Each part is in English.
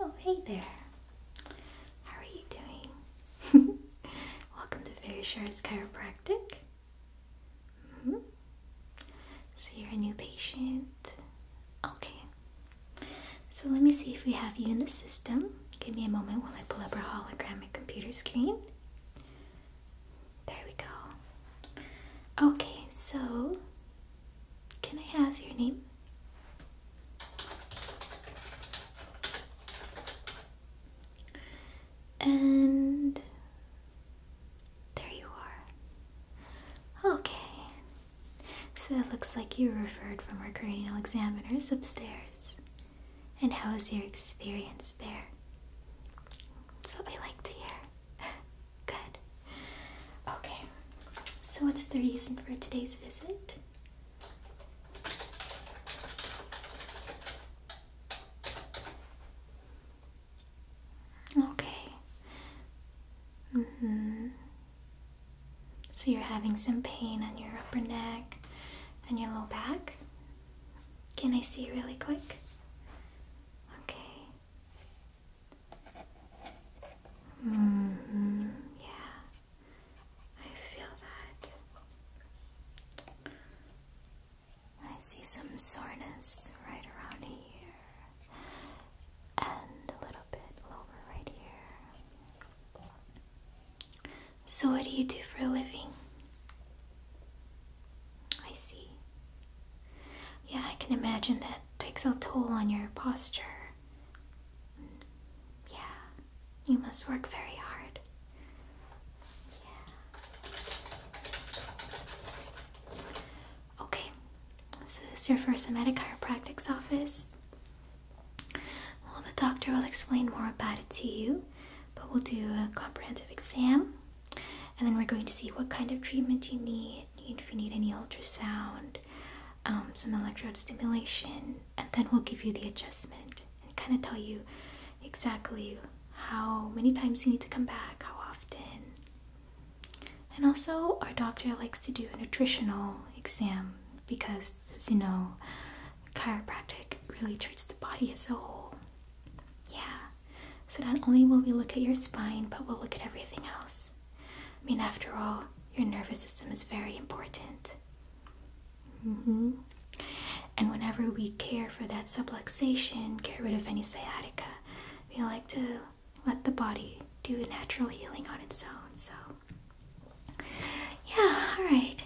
Oh, hey there. How are you doing? Welcome to Very Sure's Chiropractic. Mm-hmm. So, you're a new patient. Okay. So, let me see if we have you in the system. Give me a moment while I pull up our holographic computer screen. There we go. Okay, so can I have your name? And there you are. Okay. So it looks like you referred from our cranial examiners upstairs. And how was your experience there? That's what we like to hear. Good. Okay. So, what's the reason for today's visit? Okay. Mm hmm. So, you're having some pain on your upper neck and your low back? Can I see really quick? Okay. hmm Yeah. I feel that. I see some soreness right around here. And a little bit lower right here. So what do you do for a living? I see. Yeah, I can imagine that takes a toll on your posture. Yeah, you must work very hard. Yeah. Okay, so this is your first time at a chiropractic's office. Well, the doctor will explain more about it to you, but we'll do a comprehensive exam and then we're going to see what kind of treatment you need, if you need any ultrasound, um, some electrode stimulation, and then we'll give you the adjustment and kind of tell you exactly how many times you need to come back, how often. And also, our doctor likes to do a nutritional exam because, as you know, chiropractic really treats the body as a whole. Yeah, so not only will we look at your spine, but we'll look at everything else. I mean, after all, your nervous system is very important. Mm -hmm. And whenever we care for that subluxation, get rid of any sciatica, we like to let the body do natural healing on its own. So, yeah, all right.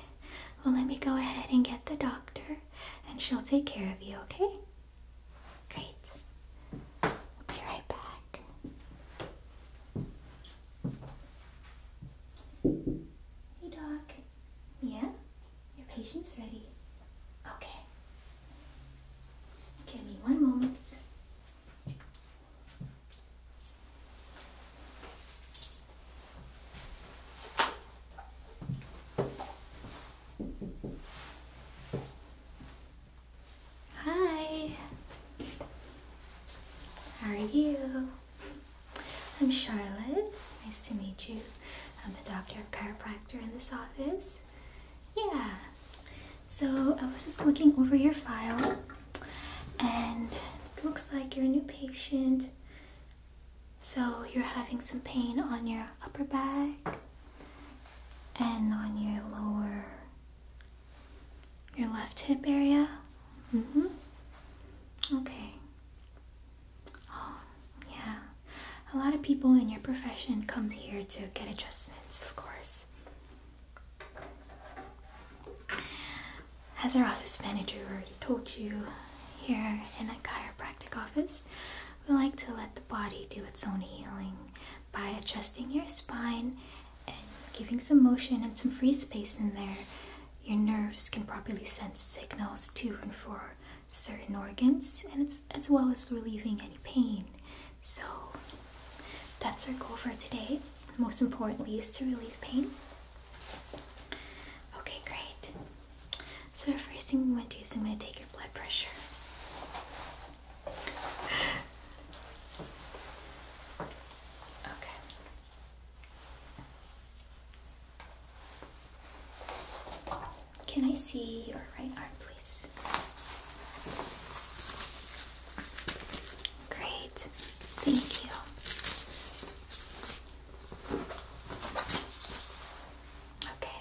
Well, let me go ahead and get the doctor, and she'll take care of you, okay? Great. be right back. Hey, Doc. Yeah? Your patient's ready. Okay. Give me one moment. Hi. How are you? I'm Charlotte. Nice to meet you. I'm the doctor of chiropractor in this office. Yeah. So I was just looking over your file and looks like you're a new patient. So you're having some pain on your upper back and on your lower, your left hip area. Mm-hmm. Okay. Oh, yeah. A lot of people in your profession come here to get adjustments, of course. As our office manager already told you, here in a chiropractic office, we like to let the body do its own healing by adjusting your spine and giving some motion and some free space in there. Your nerves can properly send signals to and for certain organs, and it's as well as relieving any pain. So that's our goal for today. Most importantly, is to relieve pain. Okay, great. So, first thing I'm going to do is I'm going to take your blood pressure. Okay. Can I see your right arm, please? Great. Thank you. Okay.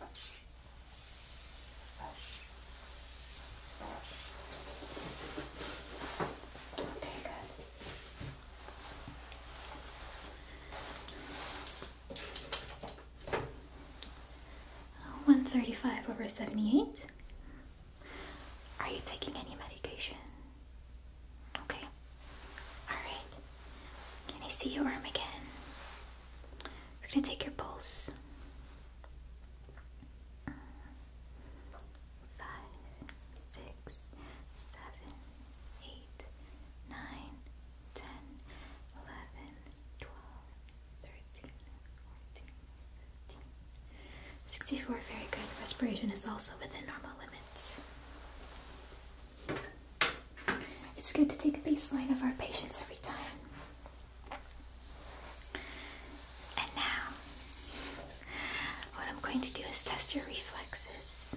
Okay, good. Oh, one thirty five over seventy eight. Are you taking any medication? Okay. Alright. Can I see your arm again? We're gonna take your pulse five, six, seven, eight, nine, ten, eleven, twelve, thirteen, fourteen, fifteen. 64, very good. Respiration is also within normal limits. It's good to take a baseline of our patients every time. And now, what I'm going to do is test your reflexes.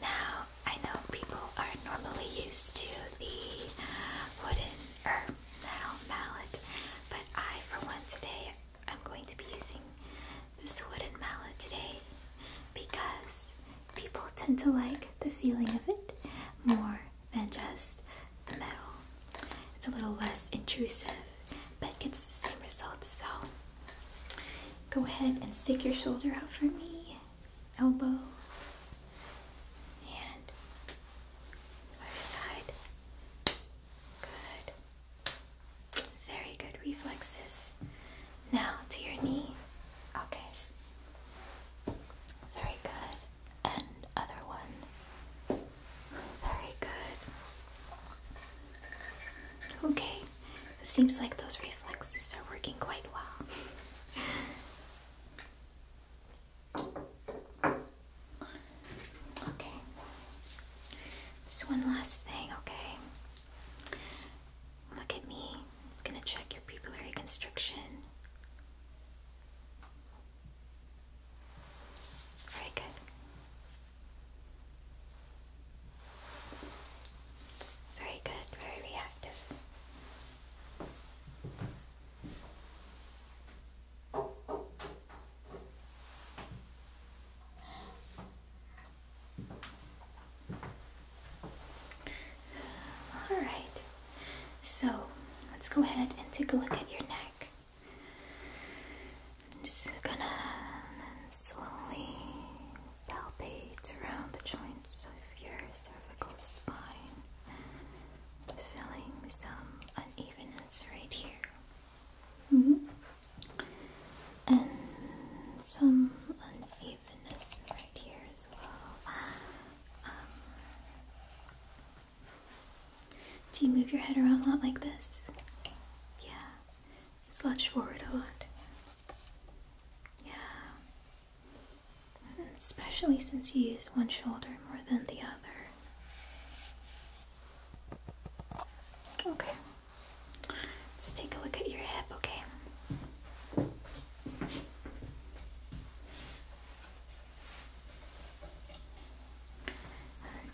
Now, I know people are normally used to the wooden or metal mallet, but I, for one, today I'm going to be using this wooden mallet today because people tend to like the feeling of it more than just the metal. It's a little less intrusive, but it gets the same results. So go ahead and stick your shoulder out for me, elbow, and other side. Good. Very good reflexes. Now to your knee. Okay. Very good. And other one. Very good. Okay. It seems like those reflexes are working quite well. Okay. Just one last thing, okay? Look at me. It's gonna check your pupillary constriction. Very good. Very good, very reactive. All right. So let's go ahead and take a look at your neck. I'm just gonna slowly palpate around the joints of your cervical spine, feeling some unevenness right here. Mm-hmm. And some unevenness right here as well. Um, do you move your head around a lot like this? Yeah. You slouch forward a lot. Yeah. Especially since you use one shoulder more than the other. Okay. Let's take a look at your hip, okay?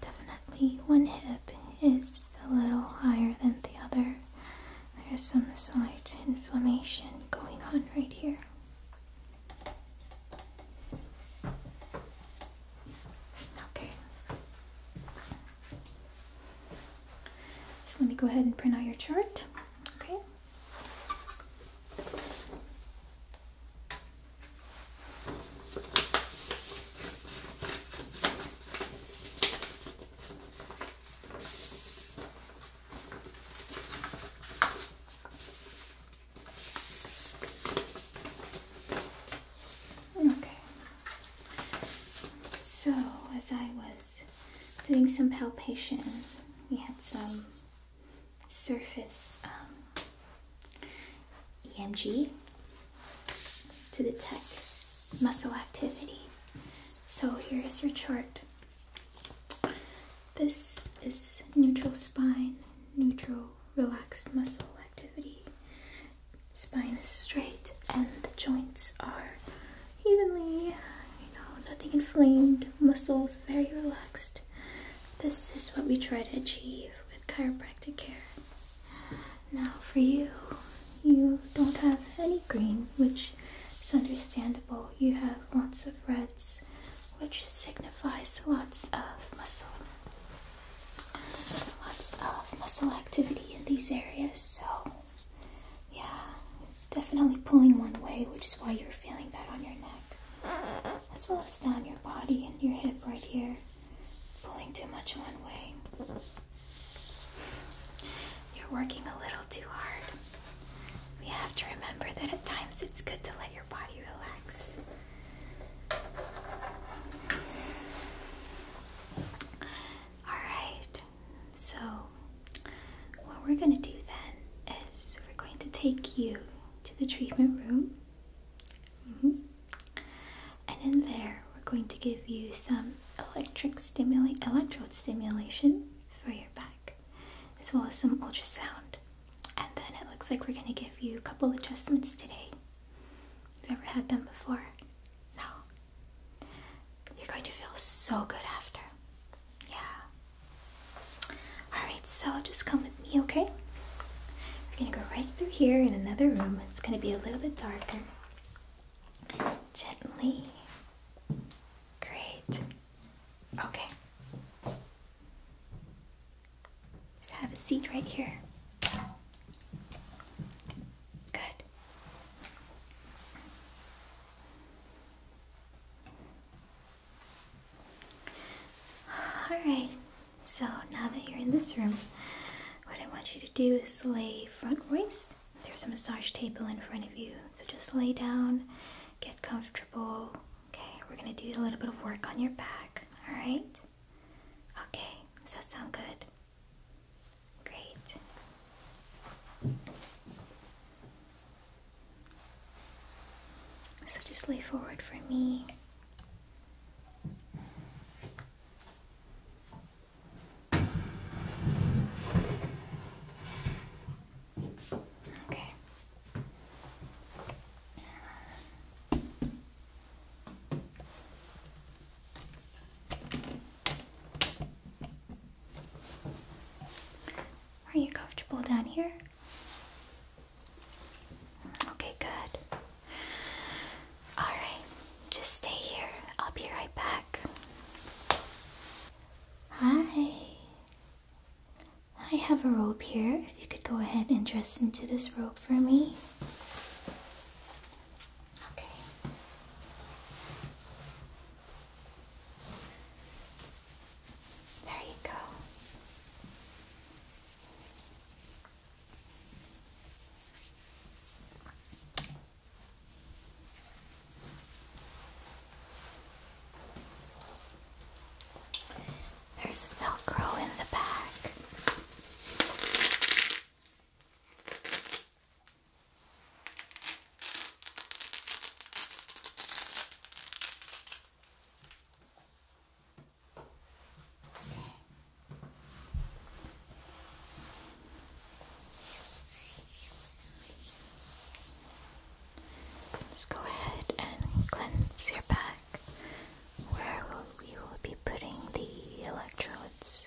definitely one hip is a little higher than the other. There's some slight inflammation going on right here. Okay. So let me go ahead and print out your chart. Okay. Okay. So, as I was doing some palpation, we had some surface um, EMG to detect muscle activity. So here is your chart. This is neutral spine, neutral relaxed muscle activity. Spine is straight and the joints are evenly, you know, nothing inflamed, muscles very relaxed. This is what we try to achieve with chiropractic care. Now, for you, you don't have any green, which is understandable. You have lots of reds, which signifies lots of muscle. Lots of muscle activity in these areas, so yeah, definitely pulling one way, which is why you're feeling that on your neck as well as down your body and your hip right here, pulling too much one way. You're working a little too hard. We have to remember that at times it's good to let your body relax. Alright, so what we're going to do then is we're going to take you to the treatment room. Mm-hmm. And in there, we're going to give you some electric stimuli, electrode stimulation for your back, as well as some ultrasound. And then it looks like we're going to give you a couple adjustments today. Have you ever had them before? No. You're going to feel so good after. Yeah. Alright, so just come with me, okay? We're gonna go right through here in another room. It's gonna be a little bit darker. Gently. Great. Okay. Just have a seat right here. Good. Alright, so now that you're in this room, what I want you to do is lay frontwards. There's a massage table in front of you, so just lay down, get comfortable. Okay, we're gonna do a little bit of work on your back, alright? Okay, does that sound good? Great. So just lay forward for me. Okay. Are you comfortable down here? Okay, good. Alright, just stay here. I'll be right back. Hi. I have a rope here. If you could go ahead and dress into this rope for me. Okay. There you go. There's Velcro in the back. Let's go ahead and cleanse your back where we will be putting the electrodes.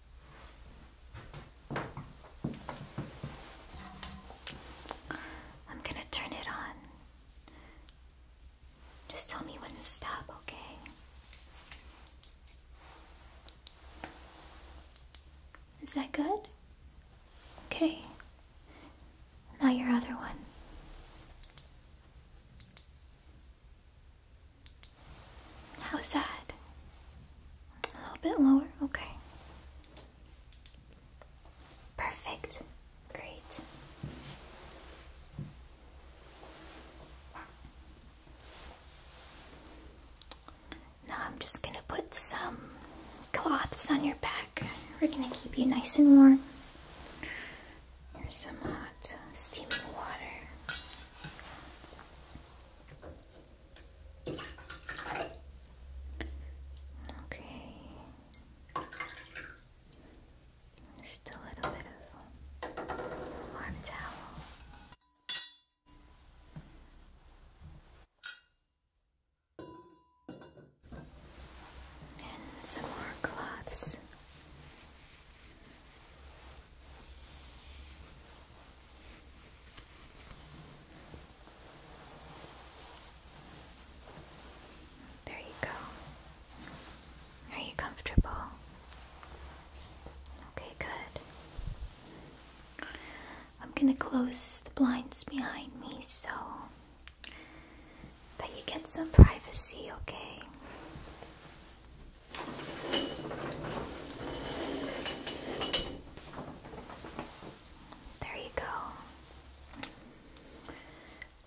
I'm gonna turn it on. Just tell me when to stop, okay? Is that good? Okay. Now your other one. How sad. A little bit lower, okay. Perfect. Great. Now I'm just going to put some cloths on your back. We're going to keep you nice and warm. Here's some hot steaming water. Okay. Just a bit of warm towel. And some more cloths. There you go. Are you comfortable? Okay, good. I'm going to close the blinds behind me so that you get some privacy, okay? There you go.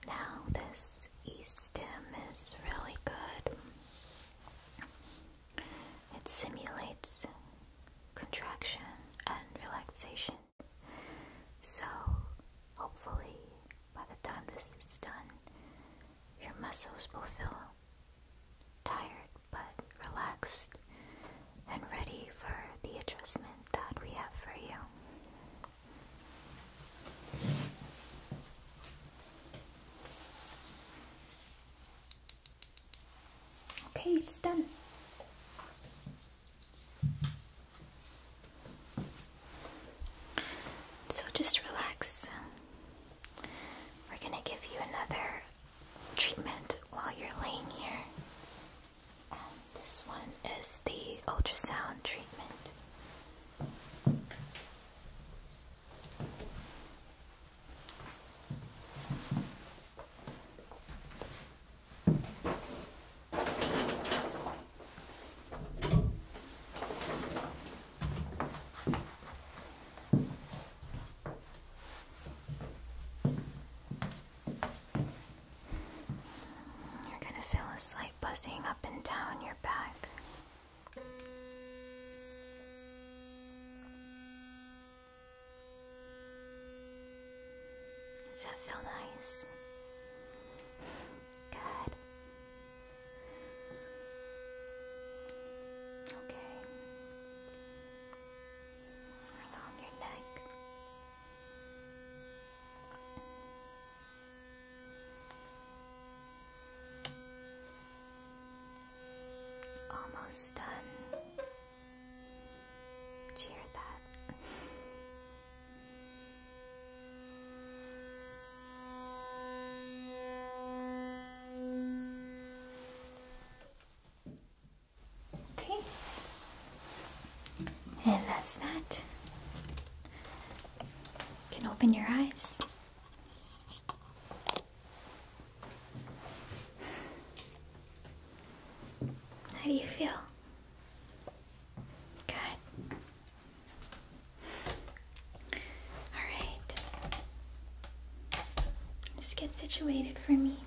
Now, this E stem is really good. It simulates contraction and relaxation. So, hopefully, by the time this is done, your muscles will feel tired but relaxed and ready for the adjustment that we have for you. Okay, it's done. So just relax. We're going to give you another treatment while you're laying here. And this one is the ultrasound treatment. You're gonna feel a slight buzzing up and down your back. Does that feel nice? Good. Okay along your neck. Almost done. Cheer that. Okay. And that's that. You can open your eyes. How do you feel? Good. All right. Just get situated for me.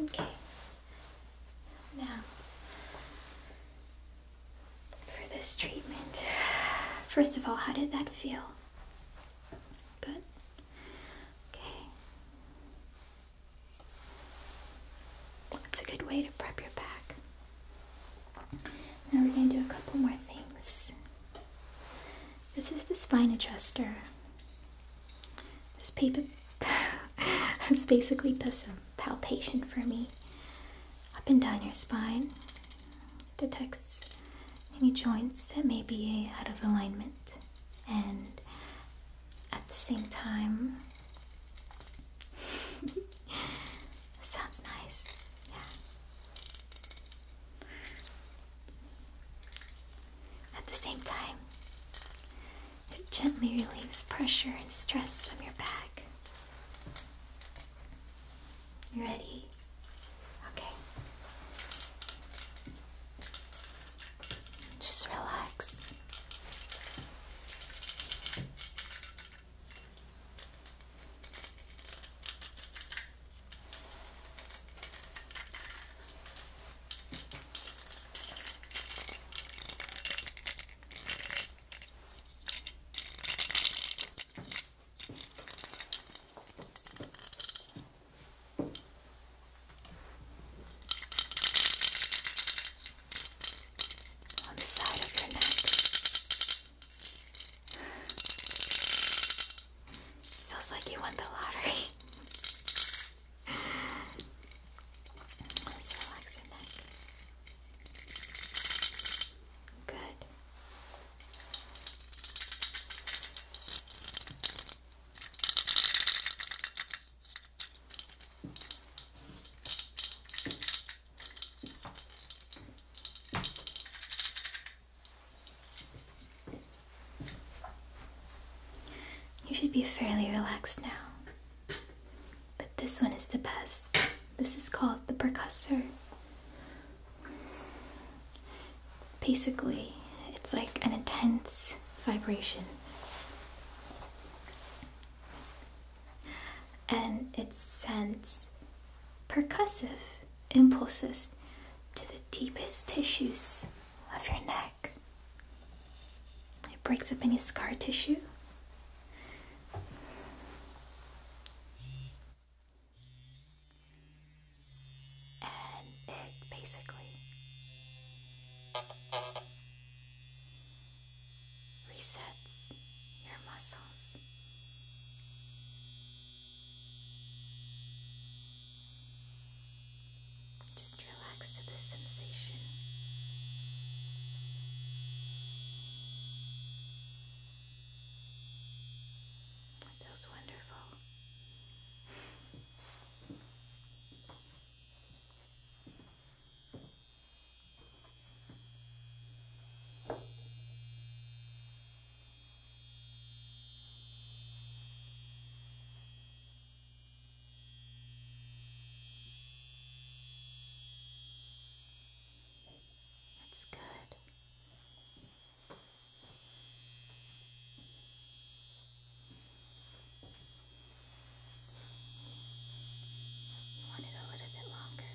Okay. Now, for this treatment, first of all, how did that feel? Good? Okay. That's a good way to prep your back. Now we're going to do a couple more things. This is the spine adjuster. This paper this basically does some palpation for me up and down your spine. Detects any joints that may be out of alignment and at the same time Sounds nice. Yeah. At the same time, it gently relieves pressure and stress from your back. You ready? Okay. Just relax. On the side of your neck, Feels like you won the lottery. Let's relax your neck. Good. You should be fairly relaxed now. But this one is the best. This is called the percussor. Basically, it's like an intense vibration and it sends percussive impulses to the deepest tissues of your neck. It breaks up any scar tissue. And it basically resets your muscles. Just relax to this sensation. It feels wonderful. That's good. You want it a little bit longer.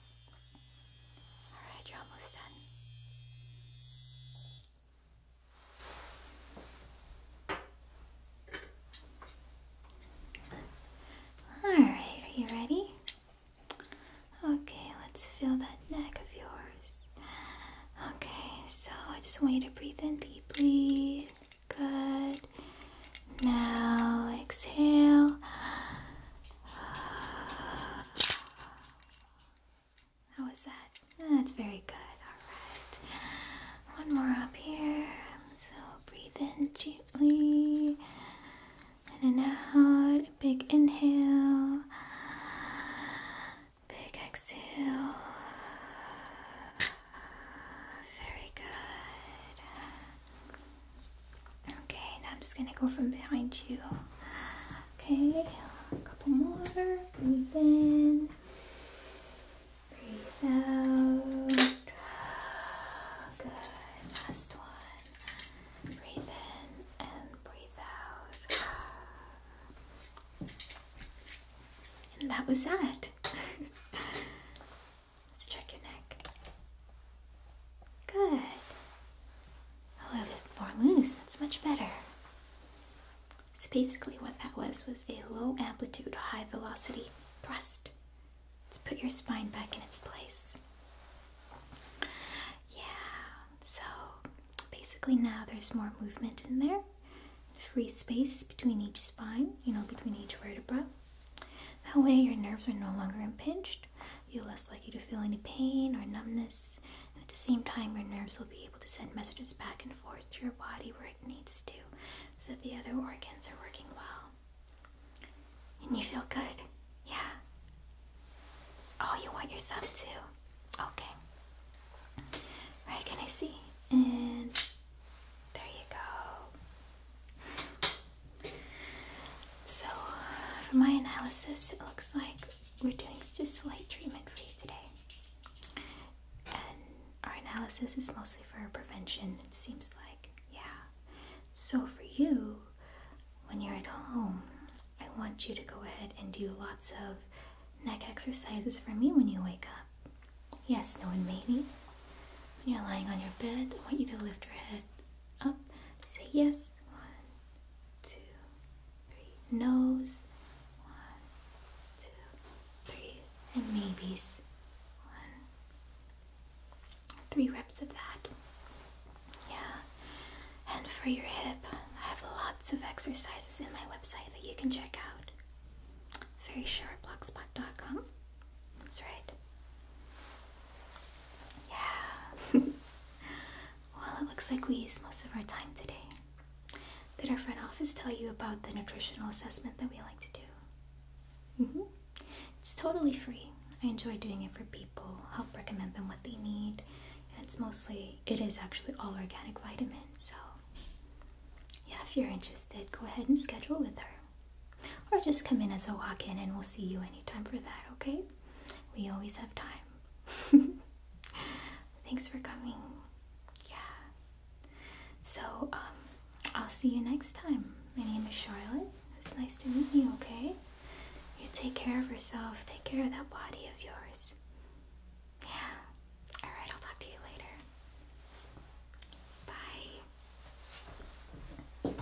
Alright, you're almost done. Alright, are you ready? Okay, let's feel that neck of yours. Okay, so I just want you to breathe in deeply. Good. Now exhale. How was that? That's very good. All right. One more up here. So breathe in gently. In and out. Big inhale. Big exhale. Very good. Okay, now I'm just gonna go from behind you. Okay, a couple more. Breathe in, breathe out. Good, last one. Breathe in and breathe out. And that was that. Let's check your neck. Good. A oh, little bit more loose, that's much better. So basically what that was was a low amplitude, high velocity thrust to put your spine back in its place. Yeah, so basically now there's more movement in there. Free space between each spine, you know, between each vertebra. That way your nerves are no longer impinged, you're less likely to feel any pain or numbness, and at the same time, your nerves will be able to send messages back and forth to your body where it needs to so that the other organs are working well. And you feel good? Yeah. Oh, you want your thumb too? Okay. Right, can I see? And there you go. So, for my analysis, it looks like we're doing just a light treatment for you today. And our analysis is mostly for prevention, it seems like. Yeah. So, for you, when you're at home, I want you to go ahead and do lots of neck exercises for me when you wake up. Yes, no and maybe When you're lying on your bed, I want you to lift your head up. Say yes two, three. Nose. One, two, three. And maybes. One. Three reps of that. Yeah. And for your hip, I have lots of exercises in my website that you can check out. Very short blogspot.com. That's right. Yeah. Well, it looks like we used most of our time today. Did our front office tell you about the nutritional assessment that we like to do? Mm-hmm. It's totally free. I enjoy doing it for people, help recommend them what they need, and it's mostly, it is actually all organic vitamins, so yeah, if you're interested, go ahead and schedule with her. Or just come in as a walk in and we'll see you anytime for that, okay? We always have time. Thanks for coming. Yeah. So, um, I'll see you next time. My name is Charlotte. It's nice to meet you, okay? You take care of yourself, take care of that body of yours. Yeah. Alright, I'll talk to you later. Bye.